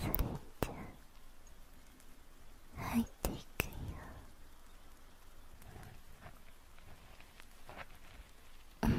それじゃあ入っていくようん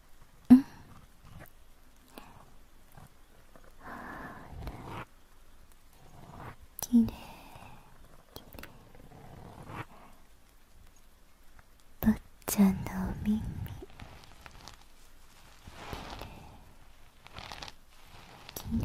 うんきれいっちゃんのお耳きれいきれいきれい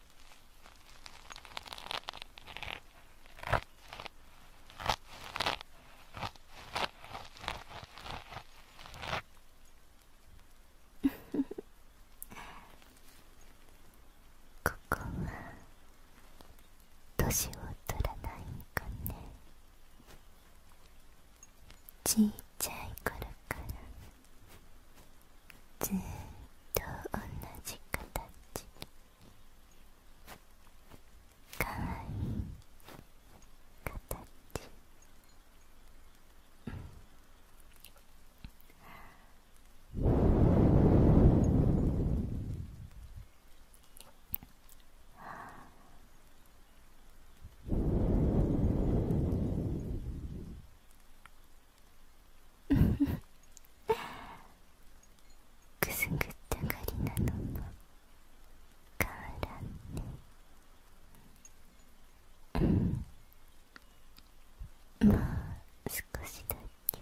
ここは年を取らないかねちいちゃい頃からずっと同じ形かわいい形「あくすぐったがりなのも変わらんねもう少しだけ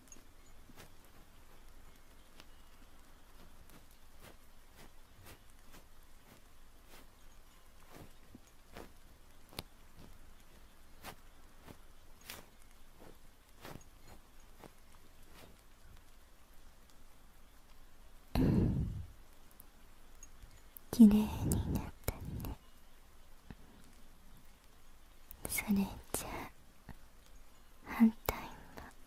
綺麗になったねそれじゃあ反対も。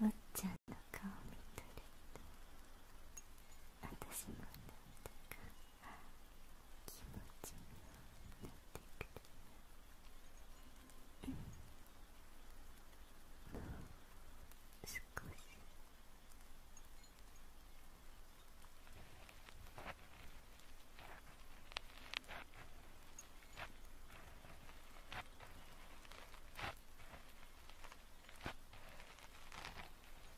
おっちゃんの顔見とる私もなんだか気持ちになってし「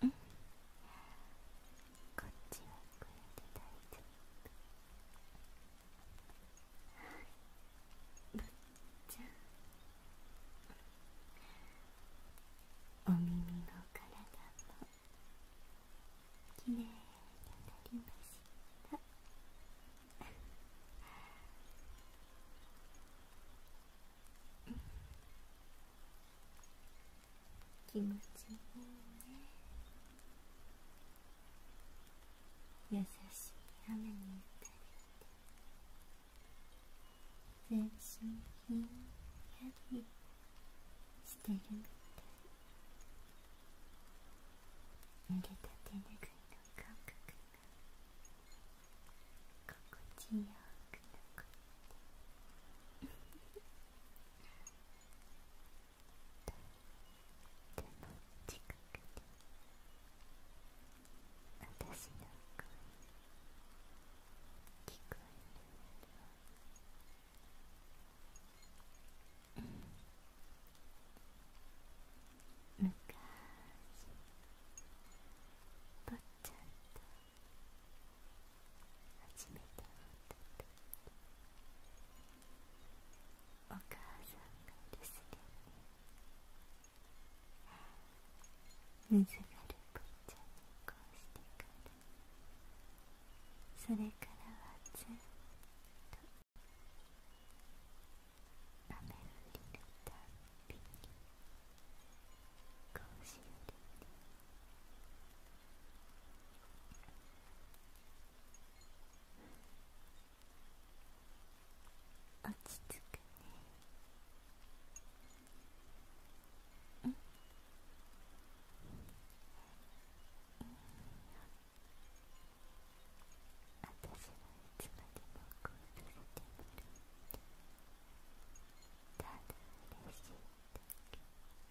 こっちはこれで大丈夫ぶっちゃんお耳の体もきれいになりました気持ちいいね優しい雨に打たれて全身ひんやりしてるみたい濡れた手ぬぐいの感覚が心地よく残って近くに私の声聞こえるよ昔坊ちゃんと初めたお母さんが留守で水がるぽんちゃにこうしてからそれからはずっと雨降りのたび Quotient. 落ち着くねん私はいつまでもこうさせてもらってただ嬉しいだけ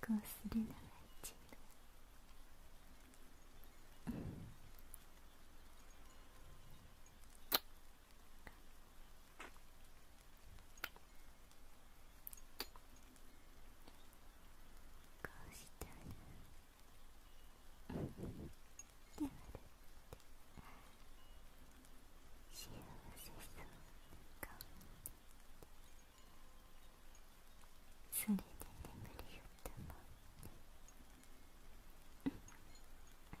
こうするなら一度こうしたらではる幸せそうな顔になって。それで眠りよったもんねあ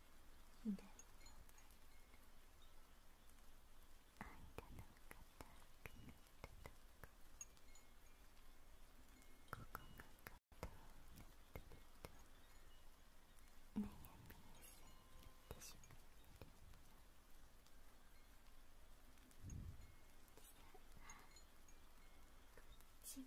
左の間の固くなったとここが固くなってると悩みやすくなってしまうよこっちも。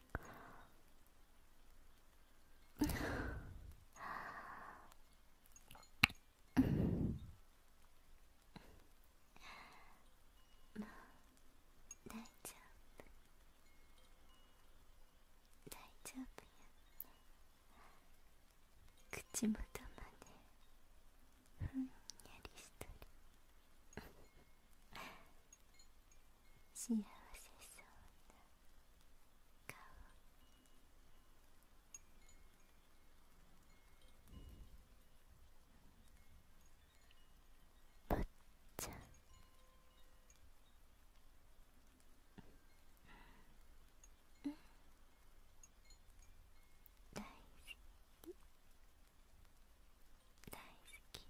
大丈夫大丈夫や口元までふんやりしとる幸せそうな顔坊ちゃん大好き大好きずっとい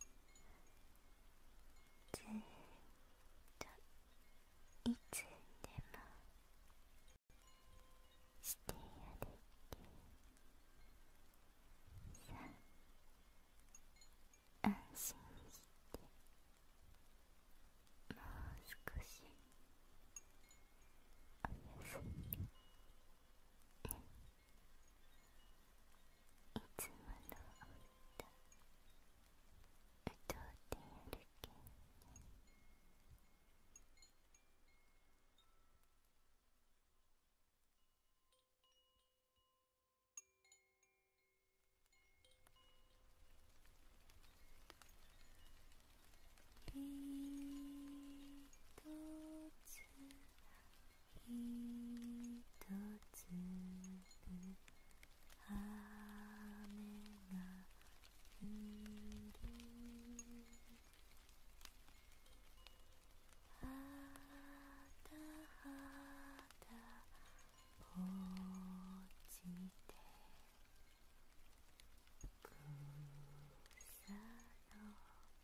つでもしてやる気さあ安心してもう少しおやすみねいつもの歌歌ってやるけんね「ひ一粒雨が降り。はたはた落ちて草の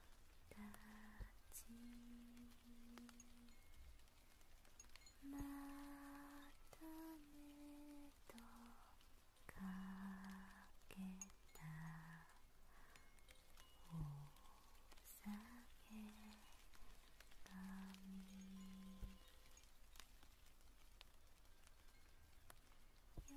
ちまたねとかけたおさげ髪夜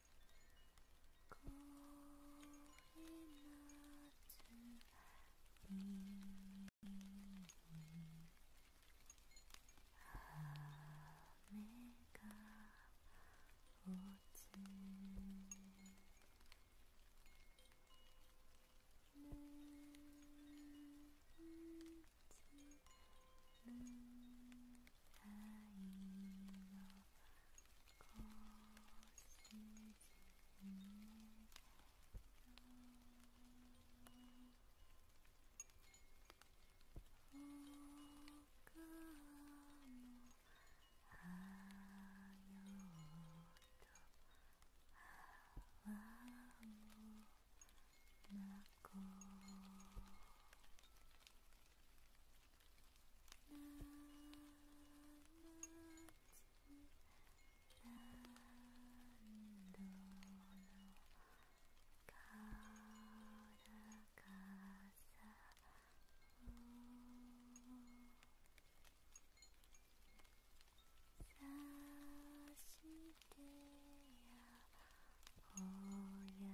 恋夏に雨が落ちる愛のこしずみの僕もはよとあ泡もまこうらのかかさ。さしてや、「お宿に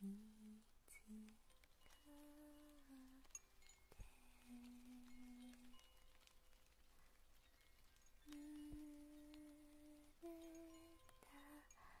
見つかって濡れた裾見てべそをかく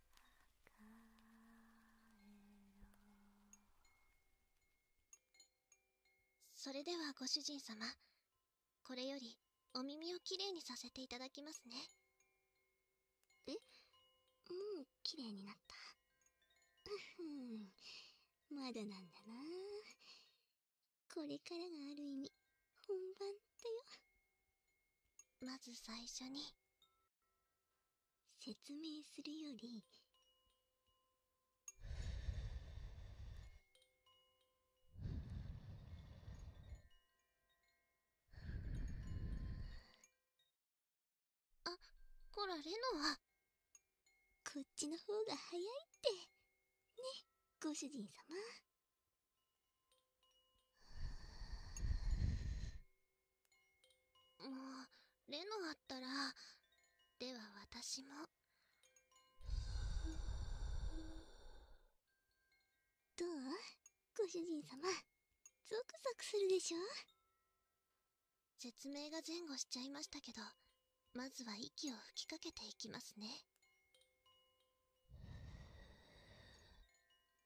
カーろそれではご主人様これよりお耳をきれいにさせていただきますねえもうきれいになったうふんまだなんだなこれからがある意味本番だよまず最初に説明するよりあこられノはこっちの方が早いってねご主人様もう、レノあったら、では私も。どうご主人様、ゾクゾクするでしょ説明が前後しちゃいましたけど、まずは息を吹きかけていきますね。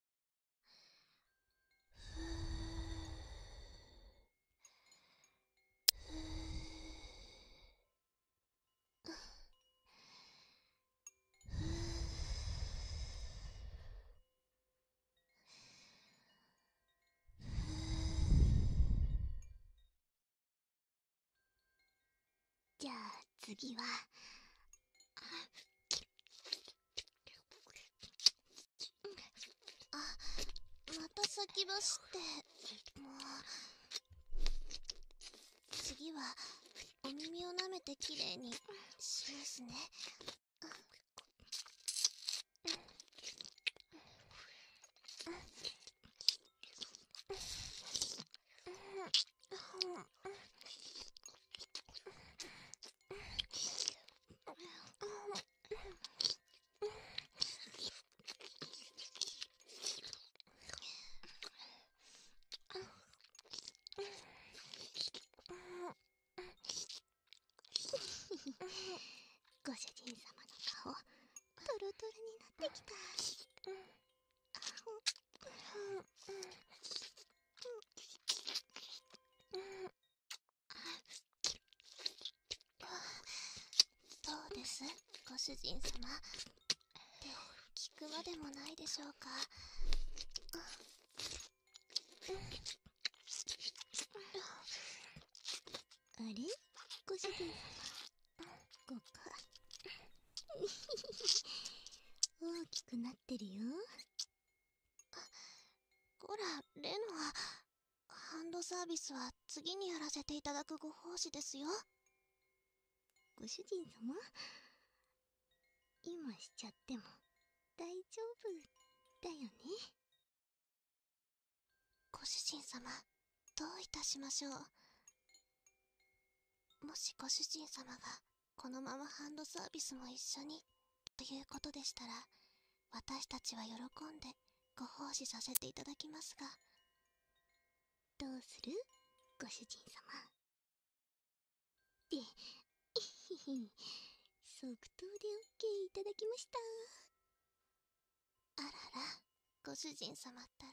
ふふふじゃあ次はあまた先走ってもう次はお耳をなめてきれいにしますねんんご主人様の顔トロトロになってきた。っ、どうですご主人様って聞くまでもないでしょうかあれご主人様ここ大きくなってるよあ、こら、レノア。ハンドサービスは次にやらせていただくご奉仕ですよ。ご主人様今しちゃっても大丈夫だよね。ご主人様、どういたしましょう。もしご主人様がこのままハンドサービスも一緒にということでしたら私たちは喜んでご奉仕させていただきますがどうするご主人様っていひひ即答でオッケーいただきましたあららご主人様ったら